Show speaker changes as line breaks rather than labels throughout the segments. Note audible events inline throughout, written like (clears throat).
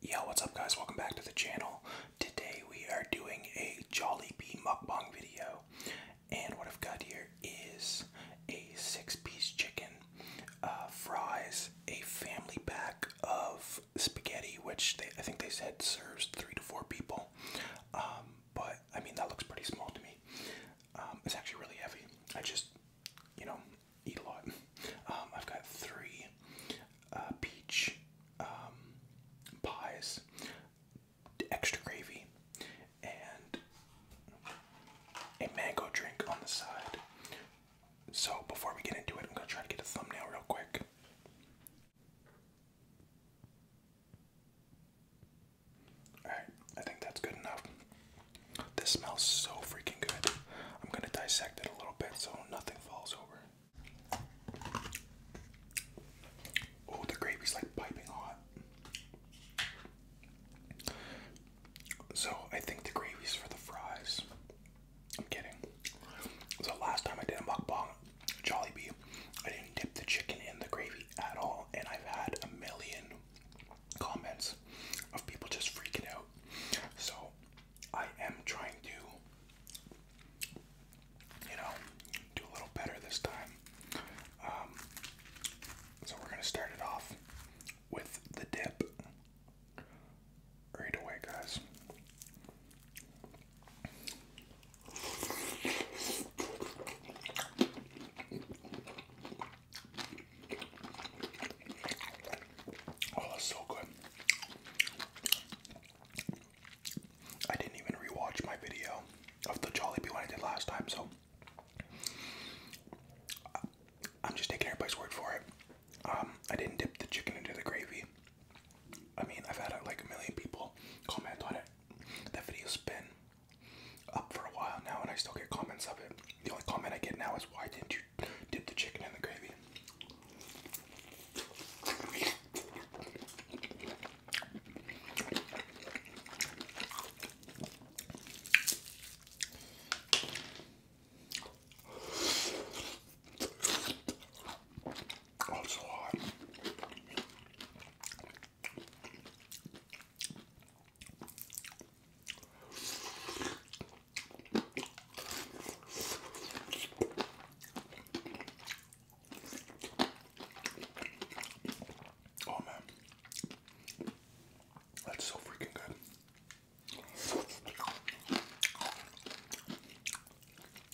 Yo, what's up guys? Welcome back to the channel. Today we are doing a Jolly Bee mukbang video. And what I've got here is a six-piece chicken, uh, fries, a family pack of spaghetti, which I think they said serves three to four people. Um, but I mean that looks pretty small to me. Um, it's actually really heavy. I just, you know, eat a lot. (laughs) Um, I've got three uh, peach um, pies, extra gravy, and a mango drink on the side. So before we get into it, I'm gonna try to get a thumbnail real quick. Alright, I think that's good enough. This smells so freaking good. I'm gonna dissect it a little bit so nothing falls over. Oh, the gravy's like piping hot. So, I think the gravy's for the fries. I'm kidding. So, last time I did a mukbang, Jollibee, I didn't dip the chicken in the gravy at all, and I've had a million comments of people just freaking out. So I am trying to, you know, do a little better this time. Um, so we're gonna start it off with the dip right away, guys. Oh, that's so good. I didn't even rewatch my video of the Jollibee one I did last time, so I'm just taking everybody's word for it. Um, I didn't dip the chicken into the gravy. I mean, I've had like a million people comment on it. That video's been up for a while now, and I still get comments of it. The only comment I get now is, "Why didn't you dip the chicken in the gravy?" Oh, hot. Oh man, that's so freaking good.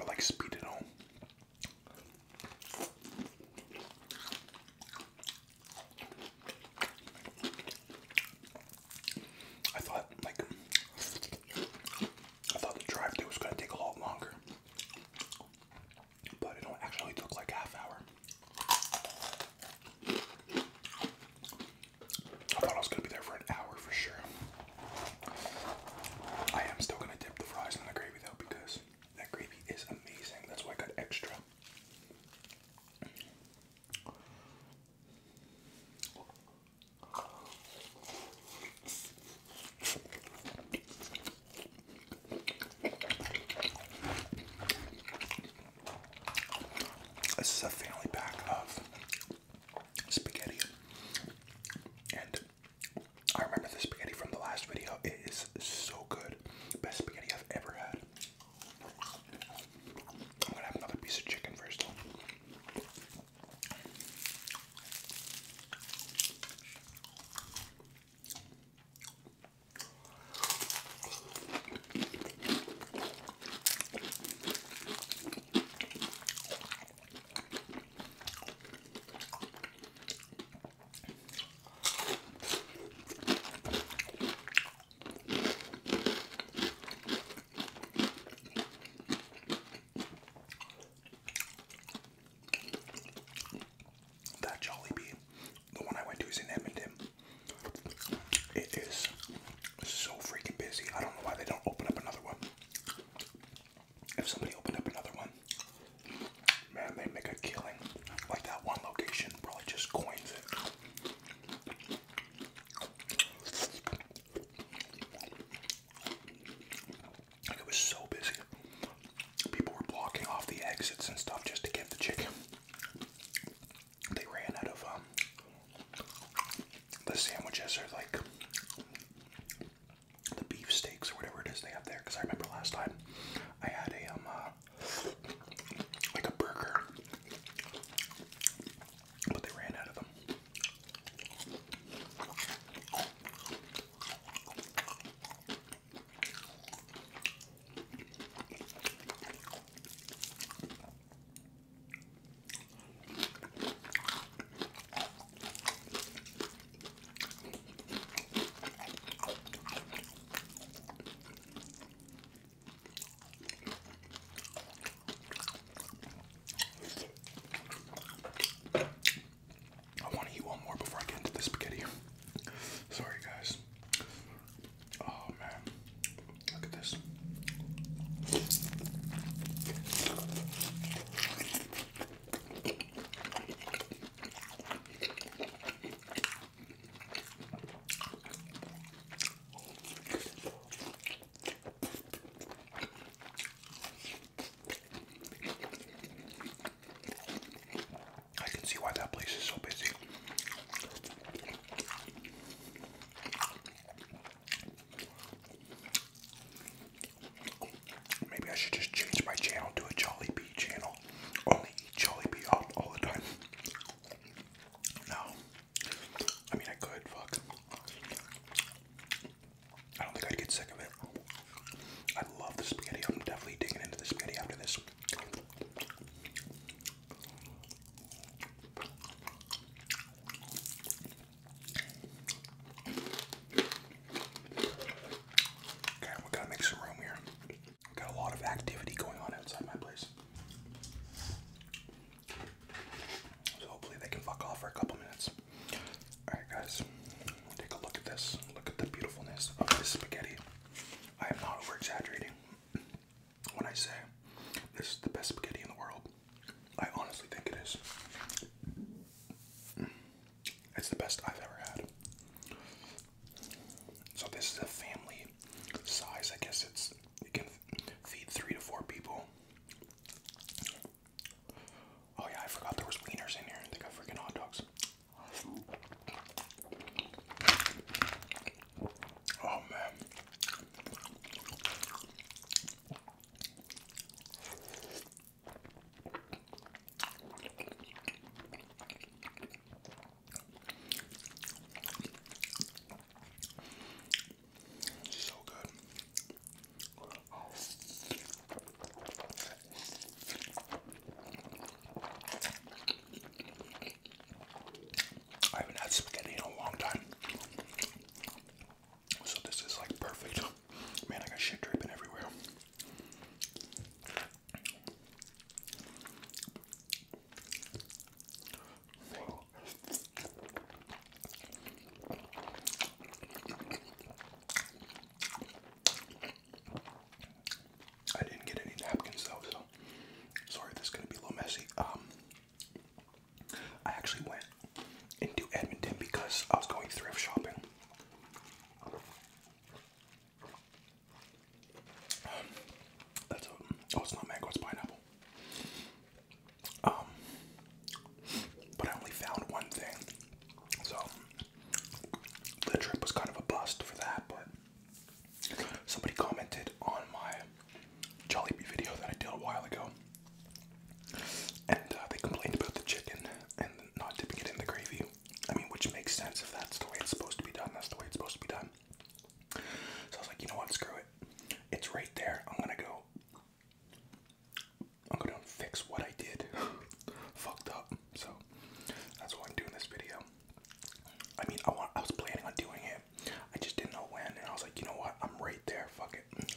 I like speed at home. I thought like I thought the drive through was gonna take a lot longer. But it do actually took like half hour. I thought I was gonna be there for an hour for sure. I am still gonna dip the fries in the gravy though because that gravy is amazing. That's why I got extra. This is a family pack of spaghetti and I remember the spaghetti from the last video. It is so good. Best spaghetti I've ever had. I'm gonna have another piece of chicken first. That Jollibee, the one I went to is in Edmonton. It is so freaking busy. I don't know why they don't open up another one. If somebody opened up another one, man, they make a killing. Like that one location probably just coins it. Like it was so busy. People were blocking off the exits and stuff just to get the chicken. They ran out of um the sandwiches Are like the beef steaks or whatever it is they have there. Because I remember last time I had a um uh, like a burger, but they ran out of them. I want to eat one more before I get into the spaghetti. Sorry, guys. Oh man, look at this. I can see why that place is so busy. Maybe I should just change my channel to a Jollibee channel. Only eat Jollibee all, all the time. No. I mean, I could, fuck. I don't think I'd get sick of it. I love the spaghetti. I'm definitely digging into the spaghetti after this. Okay, we gotta make some room here. got a lot of activity going on outside my place. So hopefully they can fuck off for a couple minutes. Alright guys, take a look at this. Look at the beautifulness of this spaghetti. I am not over exaggerating when I say this is the best spaghetti in the world. I honestly think it is. It's the best I've ever had. So this is a family size. I guess it's you can feed three to four people. Oh yeah, I forgot there was wieners in here. They got freaking hot dogs. Oh man. So good. I haven't had spaghetti in a long time. So this is like perfect. Man, I got shit dripping everywhere. I didn't get any napkins though, so sorry this is gonna be a little messy. Um I actually went into Edmonton because I was going thrift shopping. that's oh, it's not mango, it's pineapple. Um, but I only found one thing, so the trip was kind of a bust for that. But somebody commented on my Jollibee video that I did a while ago, and uh, they complained about the chicken and not dipping it in the gravy. I mean, which makes sense if that's the way it's supposed to be done. That's the way it's supposed to be done. So I was like, you know what? Screw it. It's right there. I'm gonna go. I'm gonna fix what I did. (laughs) Fucked up. So that's why I'm doing this video. I mean, I I was planning on doing it. I just didn't know when, and I was like, you know what? I'm right there. Fuck it.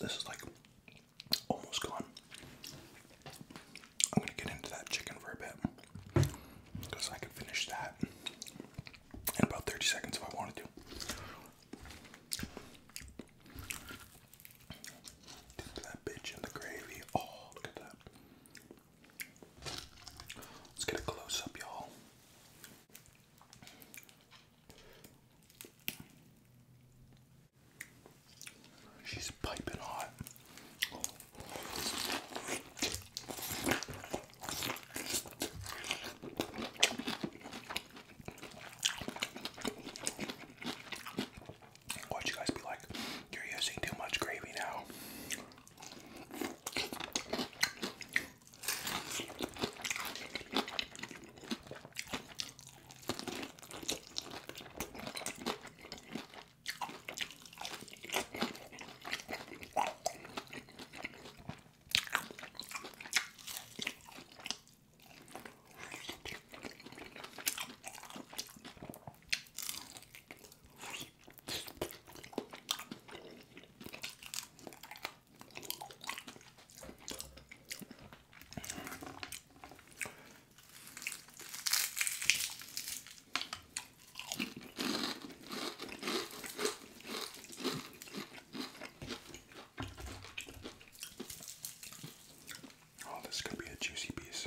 This is like almost gone. I'm gonna get into that chicken for a bit because I can finish that in about 30 seconds if I wanted to. Dip that bitch in the gravy. Oh, look at that. Let's get a close up, y'all. She's piping hot. Watch you guys be like, you're using too much gravy now. Oh, this could be a juicy piece.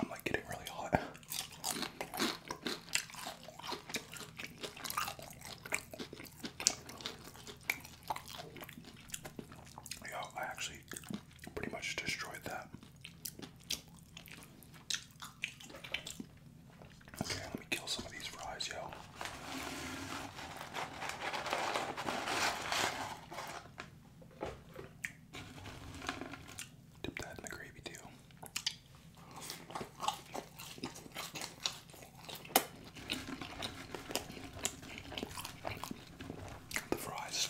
I'm like getting really hot. Yo, I actually pretty much destroyed that. Okay, let me kill some of these fries, yo. Dip that in the gravy too. The fries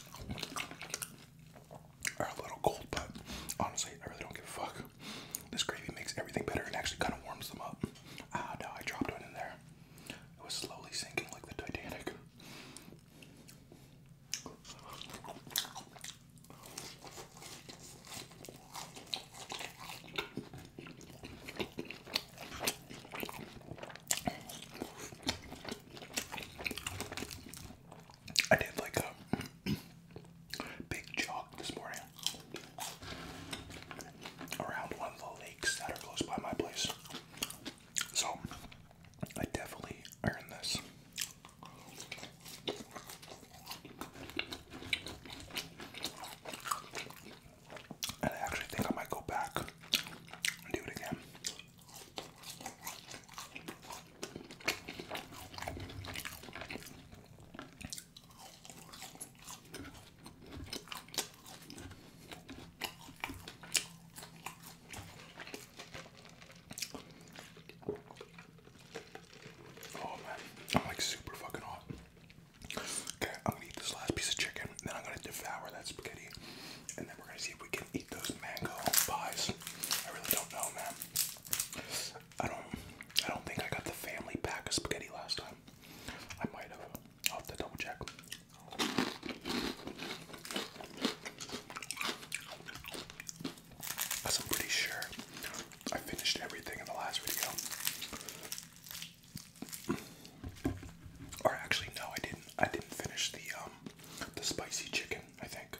are a little cold, but honestly, I really don't give a fuck. This gravy makes everything better and actually kind of warms them up. Ah, no, I dropped one in there. It was slowly sinking like the Titanic. I did like a (clears throat) big jog this morning around one of the lakes that are close by my place. So I definitely earned this. And I actually think I might go back and do it again. Oh man, I'm like super fucking hot. Okay, I'm gonna eat this last piece of chicken, then I'm gonna devour that spaghetti, and then we're gonna see if we can eat those mango pies. I really don't know, man. I don't. I don't think I got the family pack of spaghetti last time. I might have. i have to double check. i I'm pretty sure I finished everything in the last video. Or actually, no, I didn't. I didn't finish the um, the spicy chicken. I think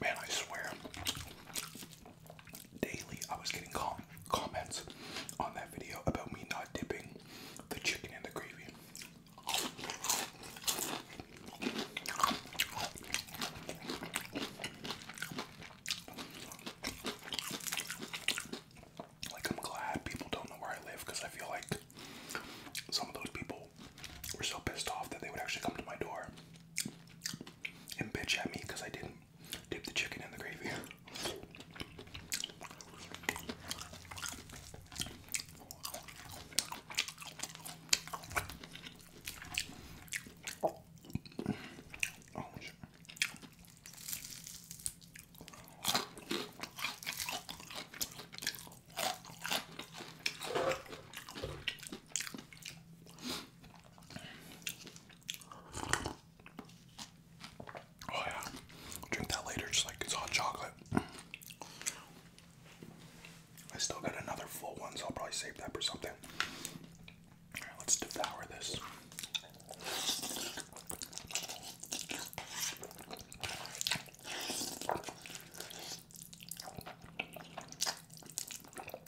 Man, I swear, daily I was getting com comments on that video about me not dipping the chicken in the gravy. Like, I'm glad people don't know where I live because I feel like some of those people were so pissed off that they would actually come to my door and bitch at me because I didn't Dip the chicken in the gravy. Oh yeah, drink that later, just like it's hot chocolate. I still got another full one, so I'll probably save that for something. right, let's devour this.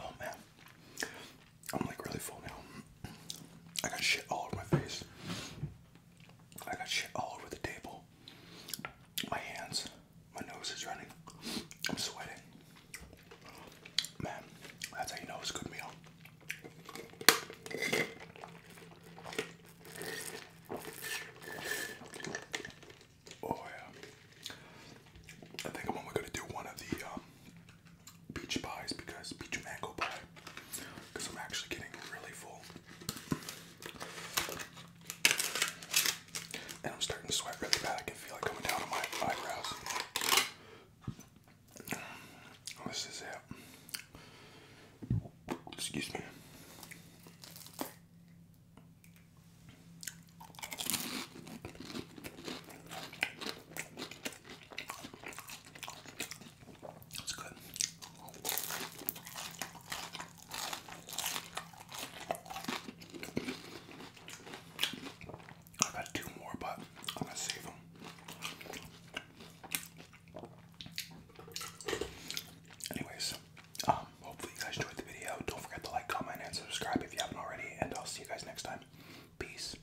Oh man, I'm like really full now. I got shit all over my face. I got shit all over the table. My hands, my nose is running. I'm sweating. Man, that's how you know it's a good meal. Oh yeah. I think I'm only gonna do one of the um, pies because beach mango pie because I'm actually getting really full. And I'm starting to sweat really bad. I can feel it coming down on my eyebrows. This is it. Excuse me. That's good. i got two more, but I'm gonna save them. Anyways, um, hopefully you guys enjoyed the video. Don't forget to like, comment, and subscribe if you haven't already, and I'll see you guys next time. Peace.